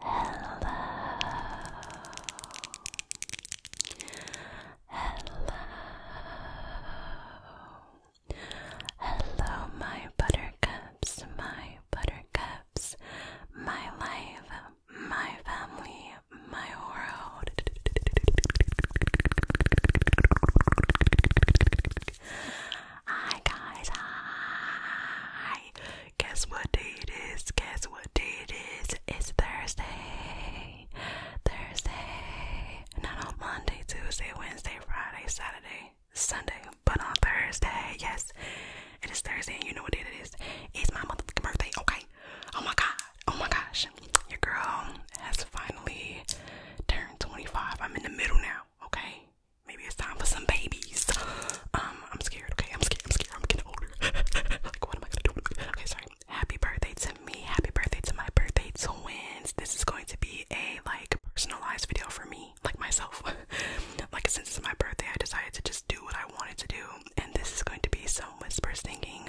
Hello. Hello. Hello, my buttercups, my buttercups, my life, my family, my world. Hi, guys. Hi. Guess what day it is? Guess what day it is? It's Thursday. Thursday. Not on Monday, Tuesday, Wednesday, Friday, Saturday, Sunday, but on Thursday. Yes, it is Thursday, and you know what day it is. It's my motherfucking birthday, okay? Oh my god. Oh my gosh. Your girl has finally turned 25. I'm in the middle now, okay? Maybe it's time for some babies. Um, um, I'm scared. Okay, I'm scared. I'm scared. I'm getting older. like, what am I gonna do? Okay, sorry. Happy birthday to me. Happy birthday to my birthday twins. This is going to be a like personalized video for me, like myself. like, since it's my birthday, I decided to just do what I wanted to do, and this is going to be some whispers singing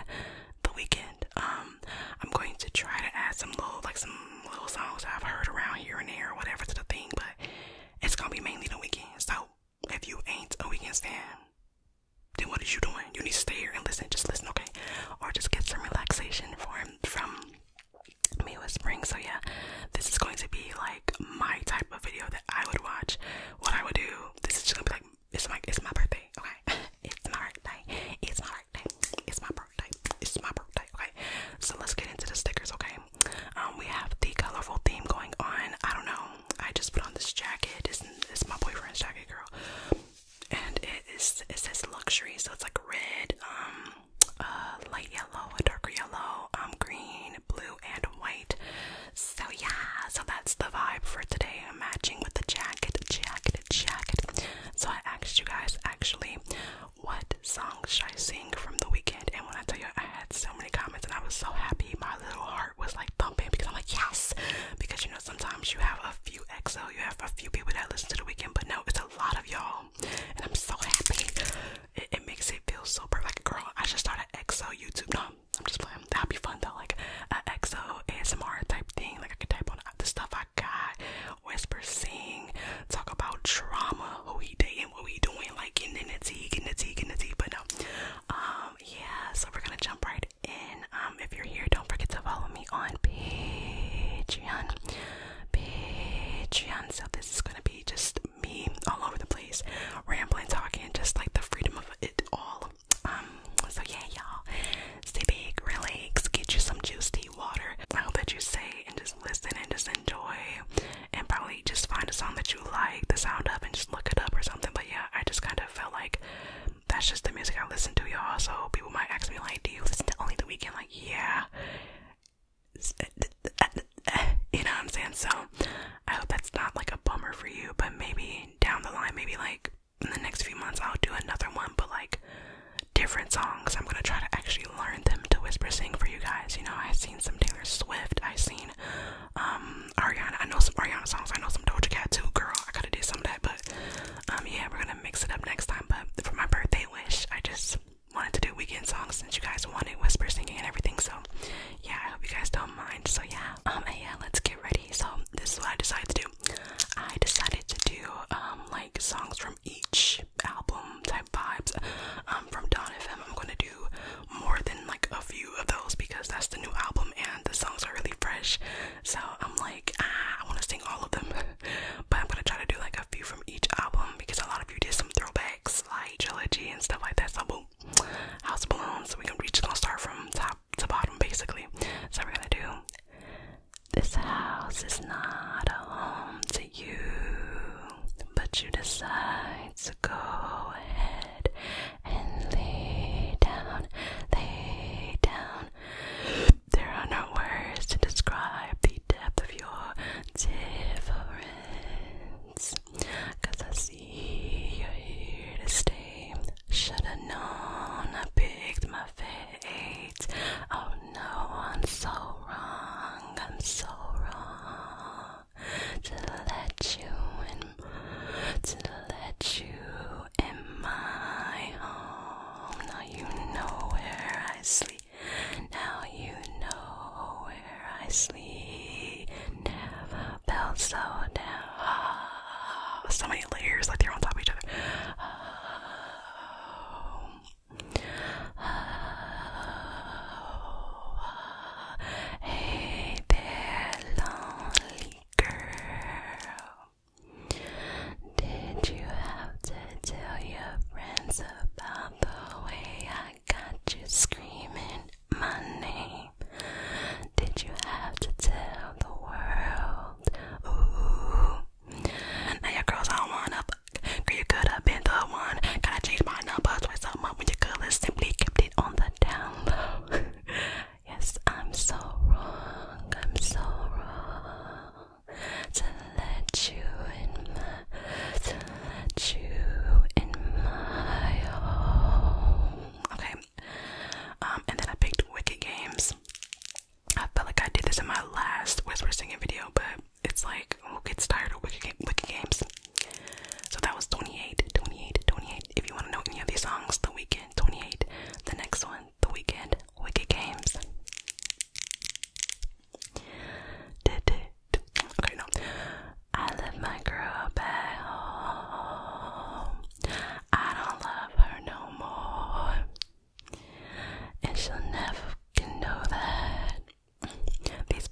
the weekend. Um, I'm going to try to add some little, like, some little songs I've heard around here and there or whatever to the thing, but it's gonna be mainly the weekend. So if you ain't a weekend stand, then what are you doing? You need to stay here and listen. Just listen, okay? Or just get some relaxation from from me whispering. So yeah, this is going to be like my type of video that I would watch. What I would do. This is just gonna be like it's my it's my birthday. Okay, it's my birthday. It's my birthday. It's my birthday. It's my birthday. Okay, so let's get into the stickers. Okay, um, we have the colorful theme going on. I don't know. I just put on this jacket. It's, it's my boyfriend's jacket, girl. And it is it says luxury, so it's like red, um, uh, light yellow, a darker yellow, um, green, blue, and white. So yeah, so that's the vibe for today. I'm matching with the jacket, jacket, jacket. So I asked you guys actually, what song should I sing from the weekend? weekend. And when I tell you, I had so many comments, and I was so happy. My little heart was like thumping because I'm like, yes. Because you know, sometimes you have a few XO, you have a few people that listen to the weekend, but no, it's a lot of y'all, and I'm so happy. It, it makes it feel so perfect. Like, girl, I should start an XO YouTube. No, I'm just playing. That'd be fun though, like an XO ASMR type thing. Like I could type on the stuff I got, whisper, sing, talk about trauma, who he dating, what we doing, like getting in the tea, getting the tea, getting the tea. But no, um, yeah, so we're gonna jump right in. Um, if you're here, don't forget to follow me on Patreon. Patreon. So this is gonna be just me all over the place, rambling, talking, just like the freedom of it all. Um, so yeah, y'all, stay big, relax, get you some juice tea, water. I hope that you say and just listen and just enjoy and probably just find a song that you like the sound of and just look it up or something. But yeah, I just kind of felt like that's just the music I listen to, y'all. So people might ask me like, "Do you listen to only the weekend?" Like, yeah. Uh, uh, uh, you know what I'm saying? So I hope that's not like a bummer for you, but maybe down the line, maybe like in the next few months, I'll do another one, but like different songs. I'm gonna try to actually learn them to whisper sing for you guys. You know, I've seen some Taylor Swift, I've seen um Ariana. I know some Ariana songs. I know some Doja Cat too, girl. I gotta do some of that, but um yeah, we're gonna mix it up next time. But for my birthday wish, I just wanted to do weekend songs since you guys wanted whisper singing and everything. So yeah, I hope you guys don't mind. So yeah, um yeah, let's get ready. So this is what I decided to do. I decided to do um like songs from each album type vibes. Um from Don FM. I'm gonna do more than like a few of those because that's the new album and the songs are really fresh. So I'm like, ah, I want to sing all of them, but I'm gonna try to do like a few from each album because a lot of you did some throwbacks like trilogy and stuff like that. So boom, House Balloons. So we can reach. Gonna start from top to bottom basically. So we're gonna do. This house is not a home to you, but you decide Let's go ahead and lay down, lay down. There are no words to describe the depth of your difference. Cause I see you're here to stay. Should've known I picked my fate. Oh no, I'm so wrong, I'm so wrong to let you in, to let you in my home. Now you know where I sleep. Now you know where I sleep. Never felt so down. so many layers like they're on top of each other hey there, lonely girl. Did you have to tell your friends about the way I got you screaming my name? Did you have to tell the world? Now your girls all want up. Girl, you could have been the one. Gotta change my number, twist up my when your color simply kept on the down yes, I'm so wrong. I'm so wrong to let you in to let you in my home. Okay. Um, and then I picked Wicked Games. I felt like I did this in my last Whisper singing video, but it's like we'll get tired of Wicked Games? So that was 28, 28, 28. If you want to know any of these songs, The Weekend, 28. The next one, The Weekend, Wicked Games. Okay, no. I left my girl back home. I don't love her no more. And she'll never know that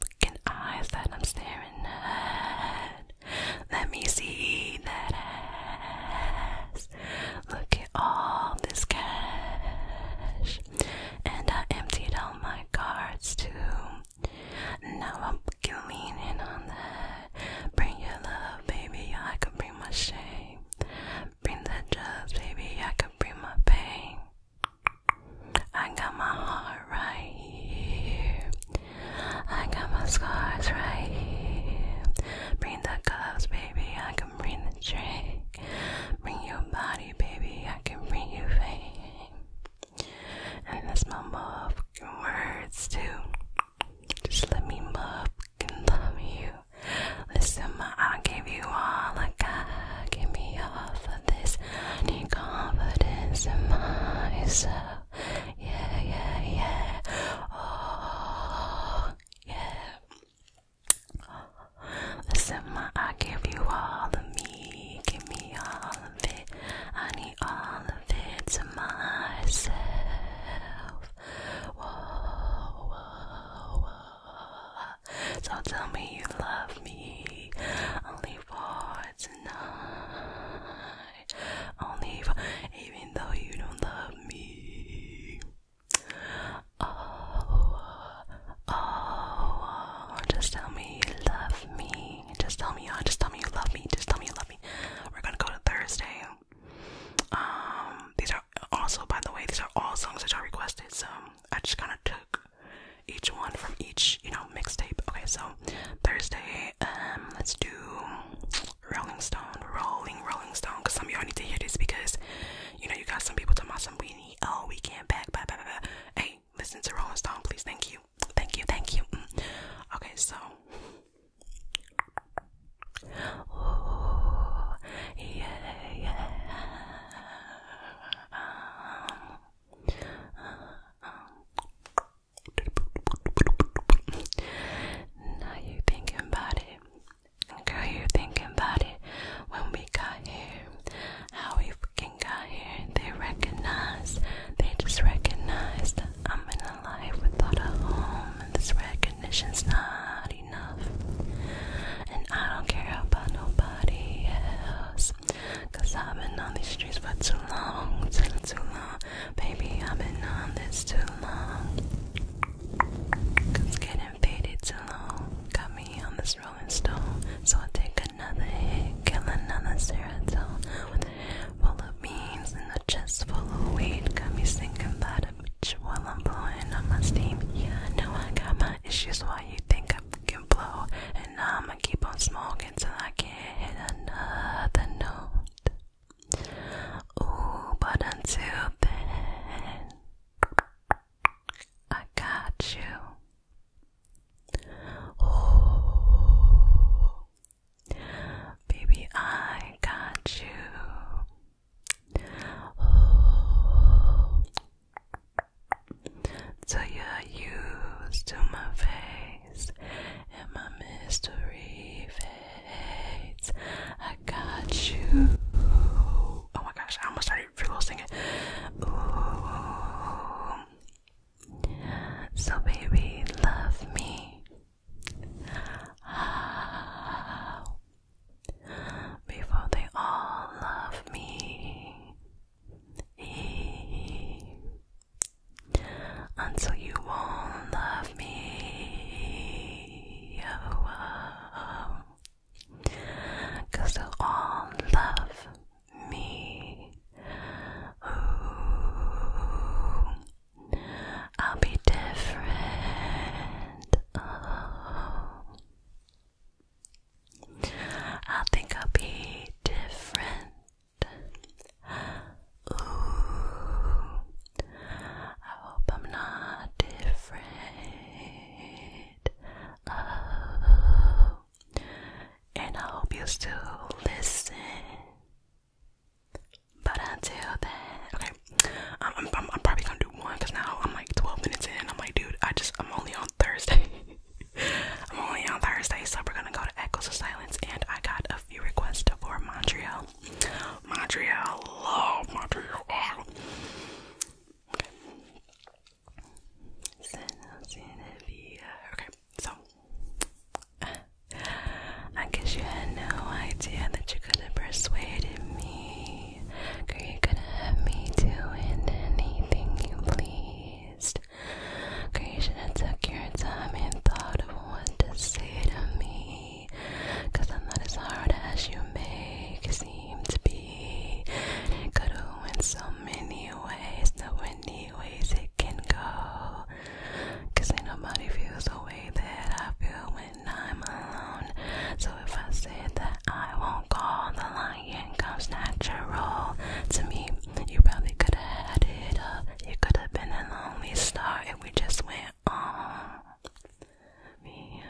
looking eyes that I'm staring at. Let me see that ass. Look at all this cash. And I emptied all my cards too. Now I'm fucking leaning on that. Bring your love, baby, I can bring my shame. Bring that drugs, baby, I can bring my pain. I got my heart right here. I got my scars right here. Bring the gloves, baby. I can bring the drink. Bring your body, baby. I can bring you fame. And that's my motherfucking words too. Just let me and love you. Listen, ma, I'll give you all I got. Give me all for this. I need confidence in my myself yeah, yeah, yeah. Oh, yeah. Listen, my, I give you all of me, give me all of it. I need all of it to myself. Whoa, whoa, whoa. So tell me you love me. Only for tonight only even though you don't love me. Oh, oh, just tell me you love me. Just tell me, just tell me you love me. Just tell me you love me. We're gonna go to Thursday. Um, these are also, by the way, these are all songs that you requested. So I just kind of took each one from each, you know, mixtape. Okay, so Thursday Okay, um, let's do Rolling Stone, Rolling, Rolling Stone, because some of y'all need to hear this because you know you got some people talking about some we need, oh, we can't back, blah, blah, blah. Hey, listen to Rolling Stone, please. Thank you, thank you, thank you. Mm. Okay, so. Oh, yeah, yeah. Um, uh, um. um. Now you thinking about it. Girl, you thinking about it. When we got here, how we freaking got here. They recognized, they just recognized I'm in a life without a home, and this recognition's not enough. And I don't care about nobody else. Cause I've been on these streets for too long, too, long. Baby, I've been on this too long. Cause getting faded too long. Got me on this rolling stone. So I take another hit, kill another cigarette. With a full of beans and a chest full of weed. Got me sinking by the beach while I'm blowing on my steam. Yeah, I know I got my issues why you think I can blow. And now I'ma keep on smoking. 괜찮게 해놨나 than not. Oh, but until then, I got you. Oh, baby, I got you. Oh. So you're used to my face and my mystery fades. I got you. Oh my gosh, I almost started full singing. Ooh. So baby, love me. Before they all love me until you won't love me. Oh, Cause they'll all love me. Ooh, I'll be different. Oh. I think I'll be different. I hope I'm not afraid. Oh. and I hope you still listen. But until then, okay, I'm, probably gonna do one because now I'm like 12 minutes in. I'm like, dude, I just, I'm only on Thursday. I'm only on Thursday, so we're gonna go to Echoes of Silence, and I got a few requests for Montreal. Montreal, love oh, Montreal. Oh. Okay. so I guess you had no idea that you could have persuaded me. Girl, you could have me doing anything you pleased. Creation, it took your time and thought of what to say to me. Cause I'm not as hard as you make it seem to be. And it could go in so many ways, no many ways it can go. Cause ain't nobody feels the way that I feel when I'm alone. So if I say that I won't call, the line, it comes natural to me. You probably could have had it up you could have been a lonely star if we just went on. Oh,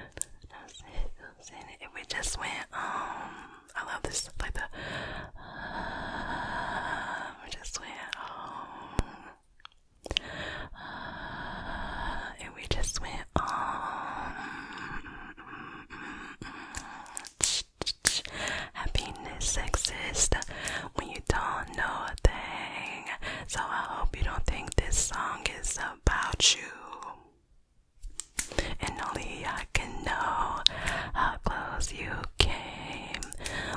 if we just went on. Um, I love this, like the. Uh, we just went on. Um, if we just went on. Happiness exists when you don't know a thing. So I hope you don't think this song is about you. And only I can know how close you came.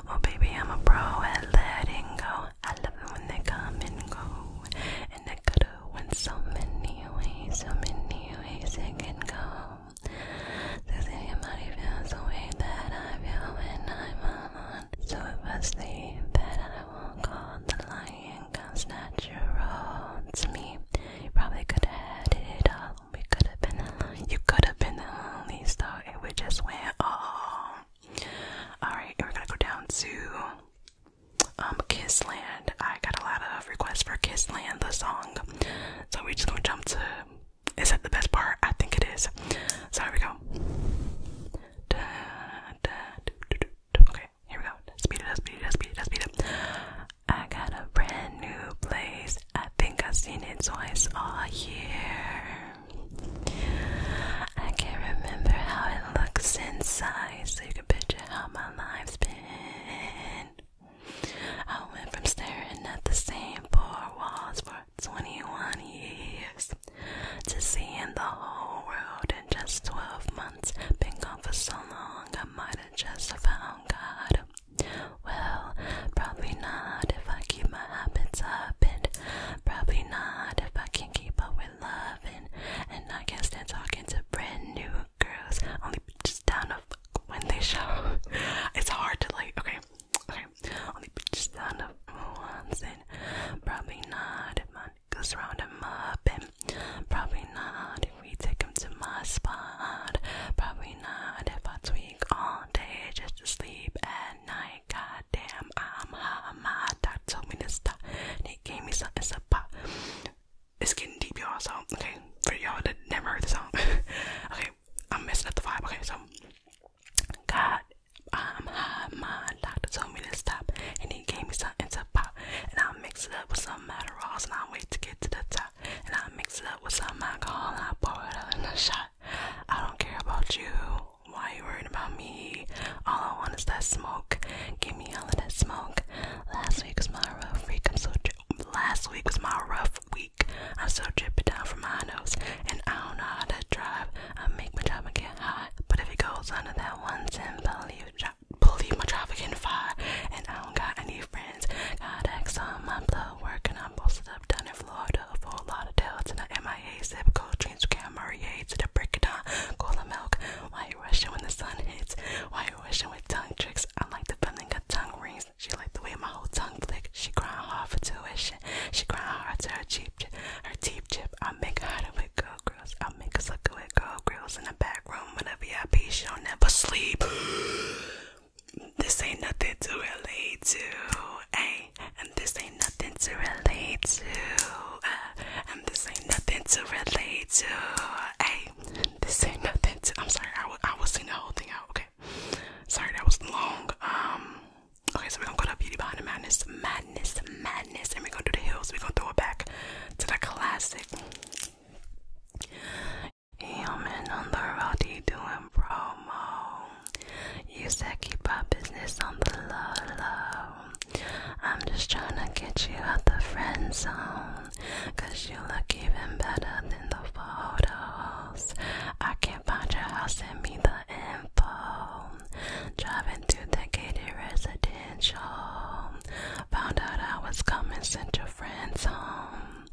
Well, baby, I'm a pro at letting go. I love it when they come and go. And I could have went so many ways, so many ways it can go. This body feels the way that I feel when I'm alone. So it that I won't call the lion come snatch your roads me. You probably could have had it all. We could have been You could have been the only star. It would just went all. Alright, we're gonna go down to um Kissland. I got a lot of requests for Kissland, the song. So we're just gonna jump to is it the best part? I think it is. So here we go. Okay, here we go. Speed it up, speed it up, speed it up, speed it up. I got a brand new place. I think I've seen it twice all year. I can't remember how it looks inside, so you can picture how my life's been. I went from staring at the same poor walls for 21 years to seeing the whole world in just 12 months. Been gone for so long, I might have just found God. Well, probably not if I keep my habits up, and probably not if I can not keep up with loving. And I guess they're talking to brand new girls, only just down to when they show. It's hard to like, okay, only bitches down once and probably not if I goes round up and probably not if we take him to my spot. Probably not if I tweak all day just to sleep at night. God I'm high. My dad told me to stop. And he gave me something to pop. It's getting deep, y'all. So okay, for y'all that never heard the song. okay, I'm messing up the vibe. Okay, so God, um, my doctor told me to stop, and he gave me something to pop, and I'll mix it up with some Adderalls, and I'll wait to get to the top, and I'll mix it up with some alcohol, and I'll pour it out in a shot. I don't care about you. Why are you worried about me? All I want is that smoke. Give me all of that smoke. Last week was my rough week. I'm so. Last week was my rough week. I'm so dripping down from my nose, and I don't know how to drive. I make my driver get high, but if it goes under that one you believe, believe my driver can fire. And I don't got any friends. Got X on my blood work, and I'm posted up done in Florida for a lot of tails. And I MIA zip code dreams to Camry to the break it down. Cola milk. Why you rushing when the sun hits? Why you rushing with tongue tricks? I like to the in a tongue ring. She like the way my whole tongue flicks. She crying hard for tuition. She crying hard to her cheap her cheap chip. I make her out of girl girls. I make her suck away girl girls in the back room with a VIP. She'll never sleep. this ain't nothing to relate to, hey. And this ain't nothing to relate to. Uh, and this ain't nothing to relate to, hey. This ain't nothing to. I'm sorry, I, w I was seeing the whole thing out, okay. Sorry, that was long. Um, Okay, so we're gonna go to Beauty Behind the Madness, Madness, Madness, and we're gonna do the hills. We're gonna throw it back to the classic. Human on the road, he doing promo. You said keep our business on the low, I'm just trying to get you out the friend zone. Cause you look even better than the photos. I can't about your house, send me the info. Driving through the gated residential. Found out I was coming, sent your friends home.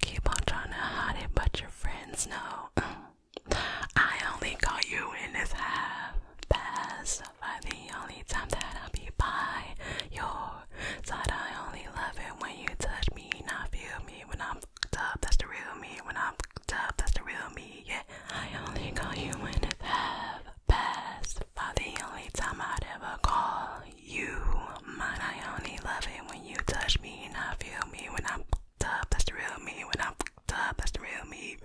Keep on trying to hide it, but your friends know. I only got you in this half past. For the only time that I'll be by your side, I only love it when you touch me, not feel me when I'm up, that's the real me. When I'm tough, that's the real me. Yeah, I only call you when it's half past five. The only time I'd ever call you man, I only love it when you touch me and I feel me. When I'm tough, that's the real me. When I'm tough, that's the real me.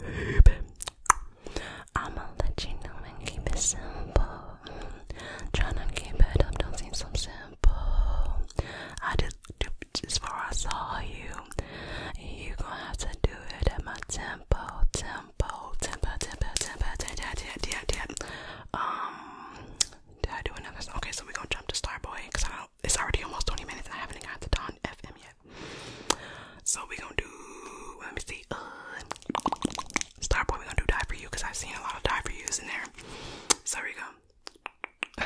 I'ma let you know and keep it simple. Tryna keep it up, don't seem so simple. I do as I saw you, you gonna have to do it at my tempo, tempo, tempo, tempo, tempo, tempo, tempo, tempo. Um, did I do another? Song? Okay, so we gonna jump to Starboy because I don't. It's already almost 20 minutes. I haven't got to Don FM yet. So we gonna do. Let me see. Starboy, we gonna do Die for You because I've seen a lot of Die for Yous in there. So we go.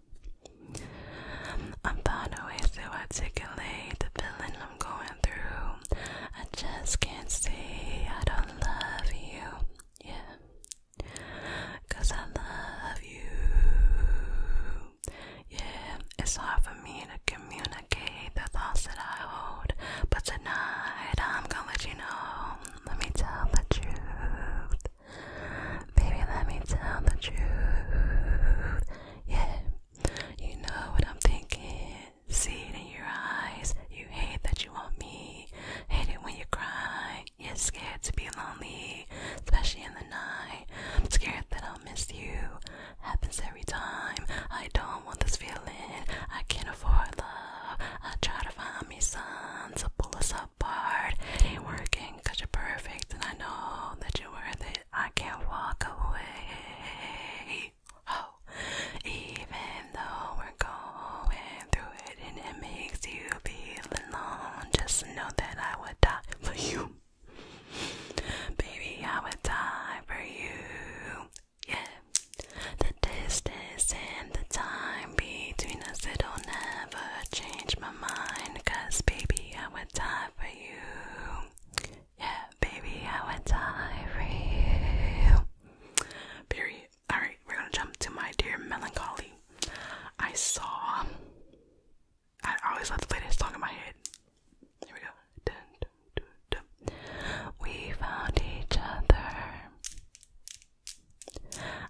I'm found a way to articulate the feeling I'm going through. I just can't say I don't love you. Yeah. I love you. Yeah, it's hard for me to communicate the thoughts that I hold. But tonight I'm gonna let you know. Let me tell the truth. Baby, let me tell the truth. Yeah, you know what I'm thinking. See it in your eyes. You hate that you want me. Hate it when you cry. you scared to be lonely, especially in the night. scared that I'll miss you. Happens every time. I don't want this feeling. I can't afford love. I try to find me to pull us apart. ain't working because you're perfect and I know that you're worth it. I can't walk away. Oh, even though we're going through it and it makes you feel alone, just know that I would die for you. Baby, I would die for you. Yeah. The distance and the time between us, it'll never change my mind. Cause baby, I would die for you. Yeah, baby, I went die for you. Period. Alright, we're gonna jump to my dear melancholy. I saw. I always love to play song in my head. Here we go. We found each other.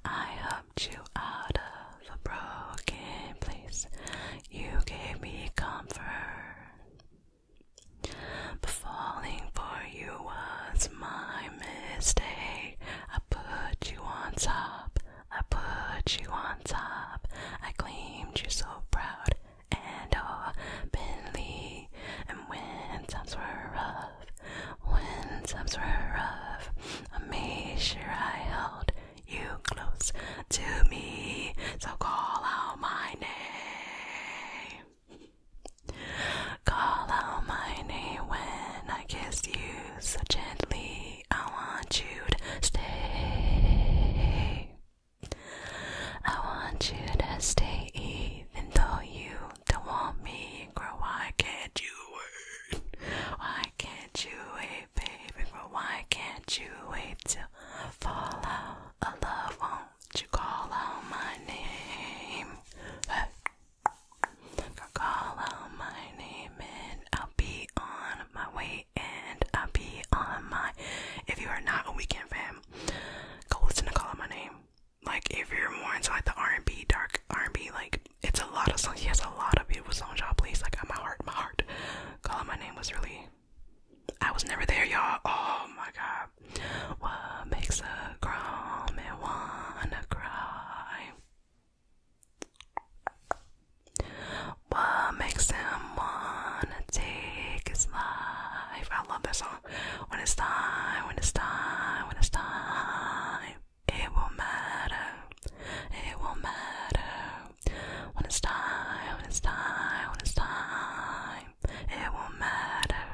I you out of a broken place. You gave me comfort. falling for you was my mistake. I put you on top. I put you on top. I claimed you so proud and openly. And when times were rough, when times were rough, I made sure I held you close to me, so call out my name. Call out my name when I kiss you so gently. I want you to stay. I want you to stay, even though you don't want me. Girl, why can't you wait? Why can't you wait? baby, but why can't you wait to I fall out of love? Won't you call out my name? Hey. Call out my name and I'll be on my way and I'll be on my if you are not a weekend fam, go listen to Call Out My Name. Like if you're more into like the R and B, dark R and B, like it's a lot of songs. He has a lot of beautiful songs, y'all please. Like my heart, my heart calling my name was really I was never there, y'all. Oh my god. What makes a man wanna cry? What makes him wanna take his life? I love that song. When it's time, when it's time, when it's time, it won't matter, it won't matter. When it's time, when it's time, when it's time, it won't matter,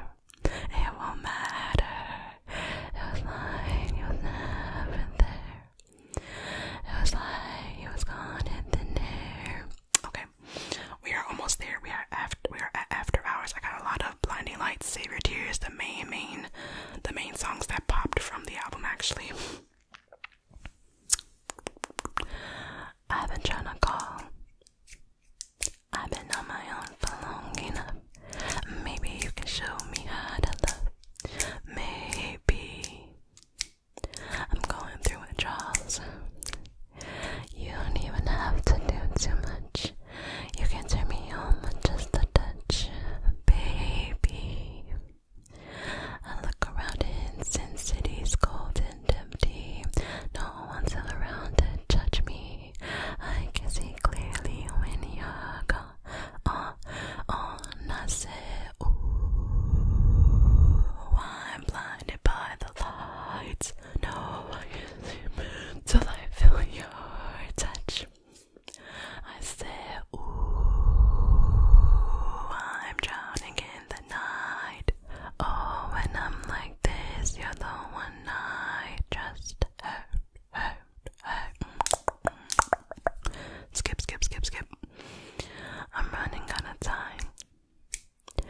it won't matter. It was like you was never there. It was like you was gone in the air. Okay, we are almost there. We are after. We are at after hours. I got a lot of blinding lights, save your tears. The main, main, the main songs that popped from the album actually. I've been trying to call. I've been on my own for long enough. Maybe you can show me how to love. Maybe I'm going through withdrawals. You don't even have to do too much. You can turn me home with just a touch, baby. I look around in Sin City's cold and empty. No one's around to judge me. I can see clearly when you're gone. Oh, oh, I said, ooh, I'm blinded by the lights. No, I can't see till I feel your touch. I say, Ooh, I'm drowning in the night. Oh, when I'm like this, you're the one I just Skip, skip, skip, skip. I'm running out of time. I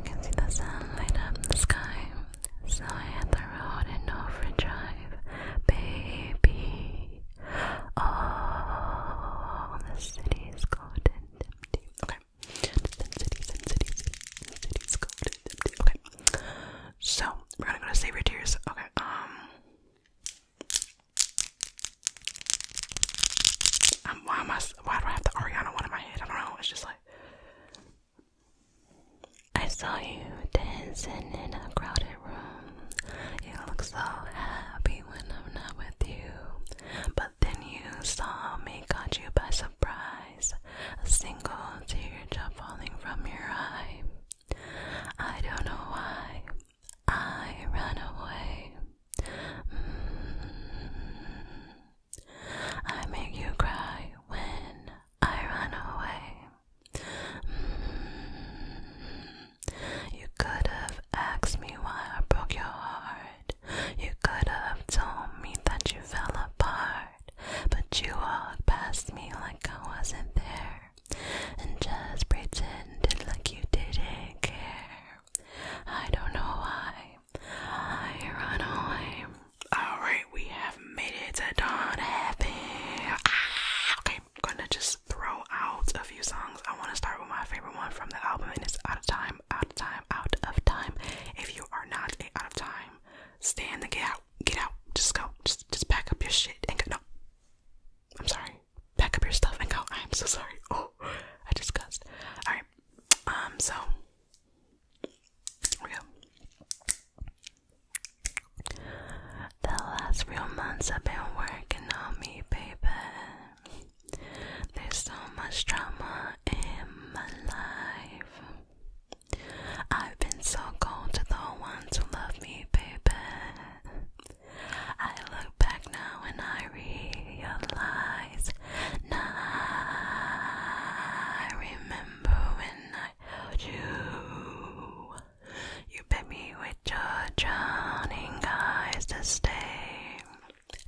can see the sun light up the sky. So I hit the road and overdrive. Baby, Oh, the cities cold and empty. Okay. And cities and cities and cities cold and empty. Okay. So we're gonna go to save tears. Okay. Um, um, why am I? Why do I have the Ariana one in my head? I don't know. It's just like I saw you dancing in a crowded room. You look so happy when I'm not with you. But then you saw me, caught you by surprise. A single tear drop falling from your eye. I don't know why I run away. Mm. I make you cry when I run away. Mm. You could have have asked me why I broke your heart. You could have told me that you fell apart, but you walked past me like I wasn't there, and just pretended like you didn't care. I don't know why I run away. Alright, we have made it to Dawn Happy. Ah, okay, I'm gonna just throw out a few songs. I want to start with my favorite one from the album, and it's Out of Time, Out of Time, Out of Time. If you are not a out of time, stay in the get out, get out, just go, just just pack up your shit and go. No, I'm sorry, pack up your stuff and go. I'm so sorry. Oh, I just cussed. All right, um, so we go. The last few months I've been working on me, baby. There's so much drama in my life. I've been so cold to the ones who love me, baby. I look back now and I realize. Now I remember when I held you. You bid me with your drowning eyes to stay.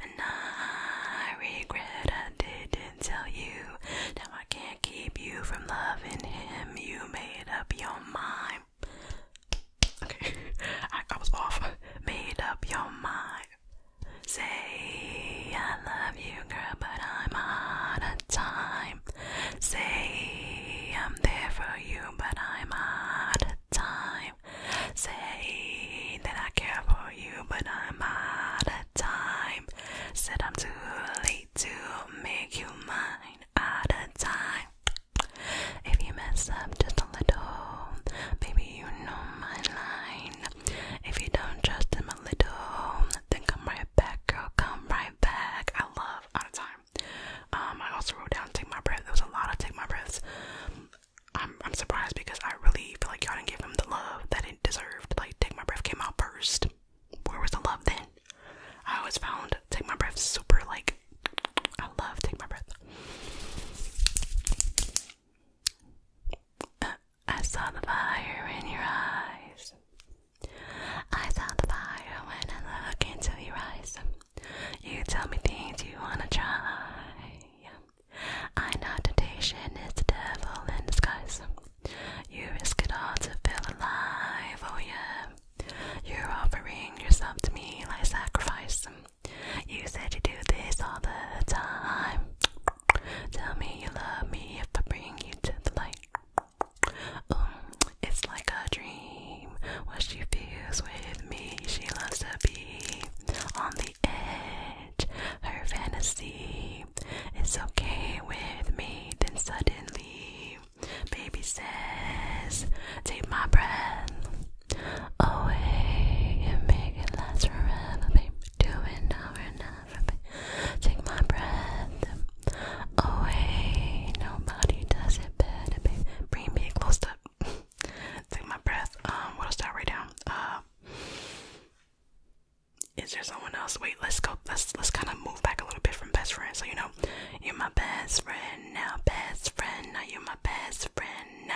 And I regret it. didn't tell you. Now I can't keep you from loving him. You made up your mind. Okay, I was off. Made up your mind. Say I love you, girl, but I'm out of time. Say I'm there for you, but I'm out of time. Say that I care for you, but I'm out of time. Said I'm too late to make you mine out of time. If you mess up just a little, baby, you know my line. If you don't trust him a little, then come right back, girl, come right back. I love out of time. Um, I also wrote down take my breath. There was a lot of take my breaths. I'm surprised because I really feel like y'all didn't give him the love that he deserved. Like take my breath came out first. Where was the love then? I always found take my breath super like I love take my breath. Uh, I saw the fire in your eyes. I saw the fire when I looked into your eyes. You tell me things you wanna try. I know temptation is a devil in disguise. You risk it all to feel alive, oh yeah. You're offering yourself to me like sacrifice. You said you do this all the time. Tell me you love me if I bring you to the light. it's like a dream what she feels with me she loves to be on the edge her fantasy it's okay with me then suddenly baby says take my breath away and make it last forever baby do it over and over baby. take my breath away nobody does it better baby bring me close to take my breath. Um, what else I write down? Uh, is there someone else? Wait, let's go. Let's let's kind of move back a little bit from best friend. So you know, you're my best friend now, best friend now, you're my best friend now.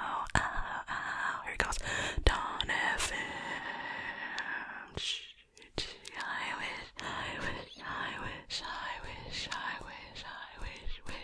Oh, oh, oh. Here it goes. Don F. I wish, I wish, I wish, I wish, I wish, I wish, wish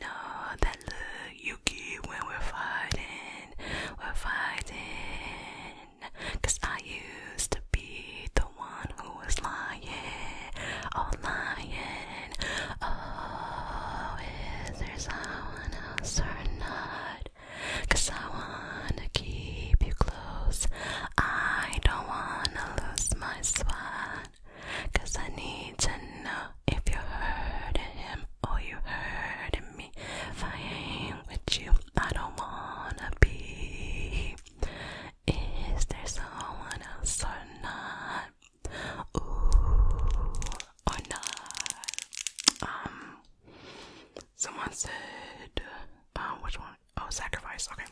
know that look you give when we're fighting, we're fighting. I used to be the one who was lying, oh lying. Oh, is there someone else or not? I wanna keep you close. I don't wanna lose my spot. I need to know if you're him Oh, you hurting me. If I ain't with you, I don't wanna be. Is there someone else or not? Ooh, or not? Um, someone said, uh, which one? Oh, sacrifice. Okay,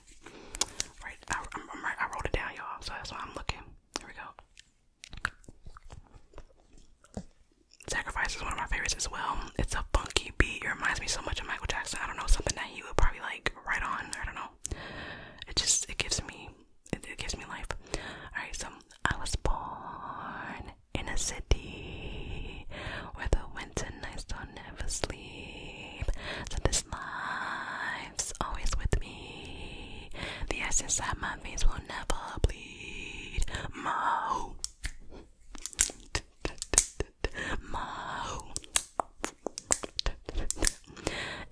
right. I, I wrote it down, y'all. So that's why I'm looking. Here we go. Sacrifice is one of my favorites as well. It's a funky beat. It reminds me so much of Michael Jackson. I don't know, something that he would probably like right on. I don't know. It just it gives me it, gives me life. Alright, so I was born in a city where the winter nights don't never sleep. So this life's always with me. The ice my veins will never bleed. My Mo.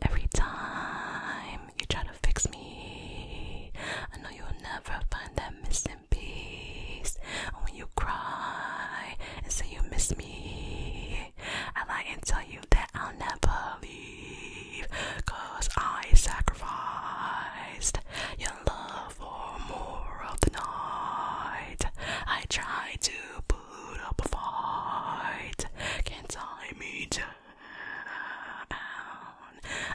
Every time you try to fix me, I know you'll never find that missing piece. when you cry and say you miss me, I lie and tell you that I'll never leave, cause I sacrificed your love for more of the night. I tried to put up a fight, can't tie me down.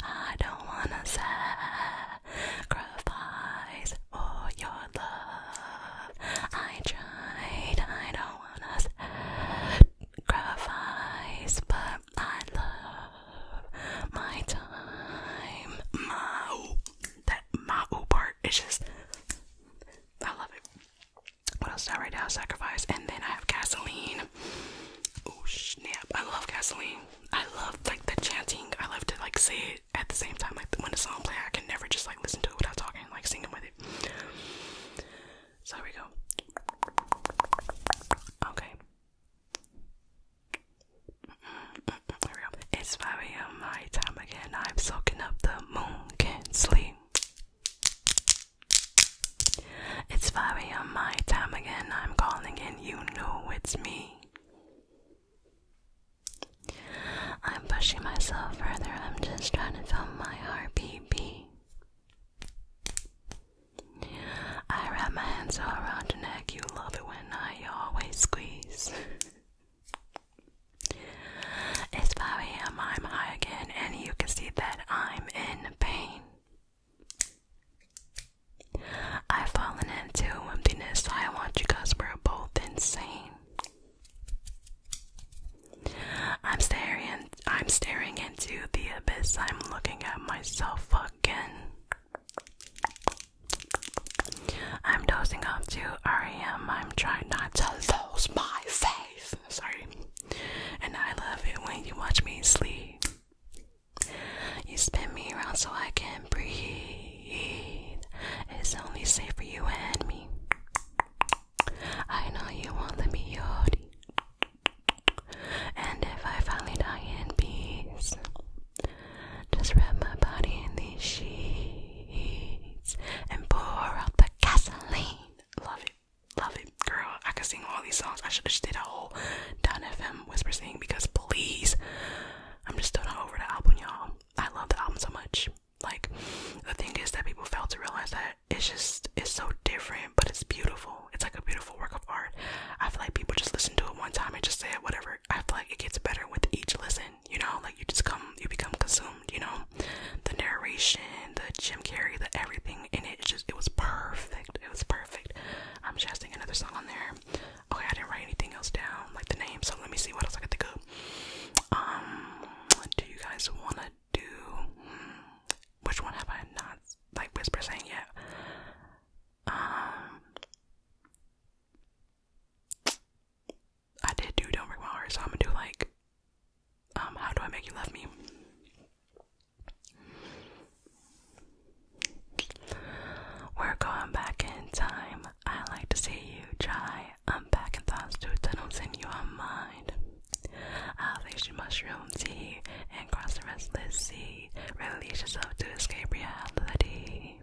I don't wanna sacrifice for your love. I tried, I don't wanna sacrifice, but I love my time. My that my ooh part is just I love it. What else did I right now? Sacrifice, and then I have gasoline. Oh snap! I love gasoline. I love like the chanting. I love to like say it at the same time. Like when the song play, I can never just like listen to it without talking, like singing with it. So here we go. Okay. Here we go. It's 5 a.m. my time again. I'm soaking up the moon, can't sleep. It's 5 a.m. my time again. I'm calling in, you know it's me. I'm pushing myself further. I'm just trying to fill my RPP. I wrap my hands all around your neck. You love it when I always squeeze. it's 5 a.m. I'm high again, and you can see that I'm in pain. I've fallen into emptiness. I want you we're both insane. I'm staring I'm staring into the abyss. I'm looking at myself fucking. I'm dosing off to REM. I'm trying not to lose my face. Sorry. And I love it when you watch me sleep. You spin me around so I can breathe. It's only safe for you and me. I know you won't let me yodi. And if I finally die in peace, just wrap my body in these sheets and pour out the gasoline. Love it. Love it, girl. I could sing all these songs. I should have just did a whole Don FM whisper sing because please, I'm just still not over the album, y'all. I love the album so much. Like, the thing is that people fail to realize that it's just, it's so different, but it's beautiful. It's like a beautiful work of art. I feel like people just listen to it one time and just say it, whatever. I feel like it gets better with each listen, you know, like you just come, you become consumed, you know, the narration, the Jim Carrey, the everything in it. It just, it was perfect. It was perfect. I'm just singing another song on there. Okay, I didn't write anything else down, like the name. So let me see what else I got think of. Um, do you guys wanna do? Hmm, which one have I not like Whisper saying yet. Um, I did do Don't Break My Heart, so I'm gonna do like, um, How Do I Make You Love Me? We're going back in time. I like to see you try. I'm back in thoughts to tunnels in your mind. I'll you mushroom and cross the restless sea, release yourself to escape reality.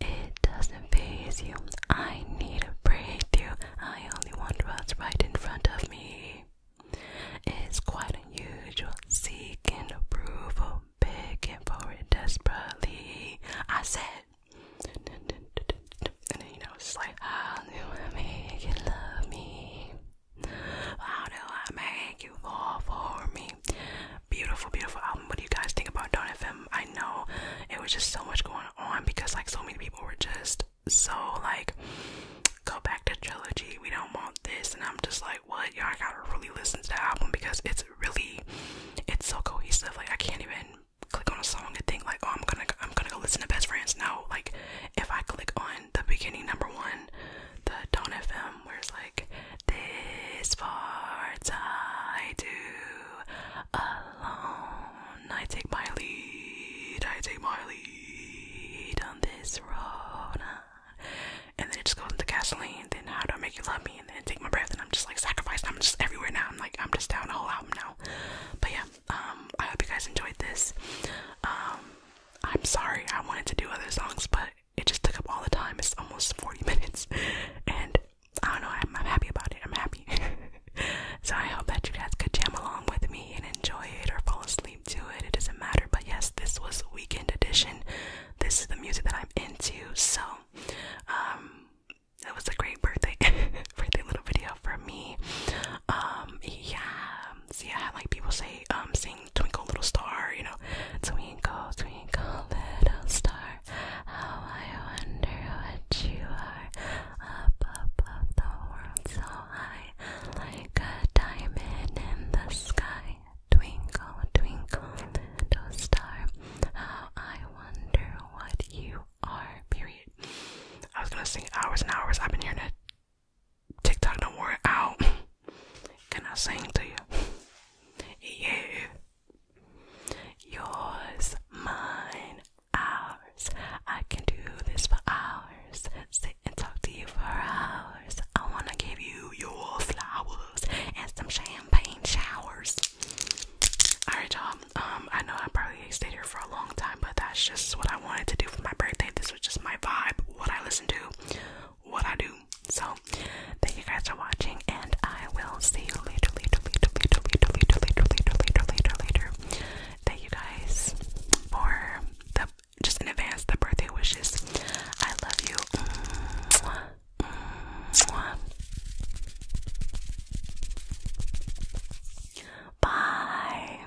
It doesn't phase you. I need a break, breakthrough. I only want what's right in front of me. It's quite unusual, seeking approval, begging for it desperately. I said, and then, you know, it's like, how do I make you love me? How do I make you fall for me? Beautiful, beautiful album. What do you guys think about Don FM? I know it was just so much going on because like so many people were just so like go back to trilogy. We don't want this and I'm just like what y'all gotta really listen to the album because it's really it's so cohesive. Like I can't even click on a song and think like oh I'm gonna I'm gonna go listen to best friends. No, like if I click on the beginning number one, the Don FM, where it's like, This part I do alone. I take my lead, I take my lead on this road. And then it just goes into gasoline, then how do I make you love me? And then take my breath, and I'm just like sacrificed. I'm just everywhere now. I'm like, I'm just down a whole album now. But yeah, um, I hope you guys enjoyed this. Um, I'm sorry, I wanted to do other songs, but it just took up all the time. It's almost 40 minutes, and I don't know, I'm, happy about it. I'm happy. so I hope that you guys could jam along with me and enjoy it or fall asleep to it. It doesn't matter, but yes, this was Weekend Edition. This is the music that I'm into, so um, it was a great birthday, birthday little video for me. Um, yeah, so yeah, like people say, um, sing Twinkle Little Star, you know, Twinkle, Twinkle Little Star, how I wonder what you are, up above the world so high, like a diamond in the sky. Twinkle, twinkle, little star, how I wonder what you are. Period. I was gonna sing hours and hours. I've been hearing it TikTok don't worry out. Can I sing to you? Yeah. Yours, mine, ours. I can do this for hours. Sit and talk to you for hours. I wanna give you your flowers and some champagne showers. Alright y'all, um I know I probably stayed here for a long time, but that's just what I wanted to do for my birthday this this was just my vibe, what I listen to, what I do. So, thank you guys for watching, and I will see you later, later, later, later, later, later, later, later, later, later, later. Thank you guys for the just in advance the birthday wishes. I love you. Mwah, mwah. Bye.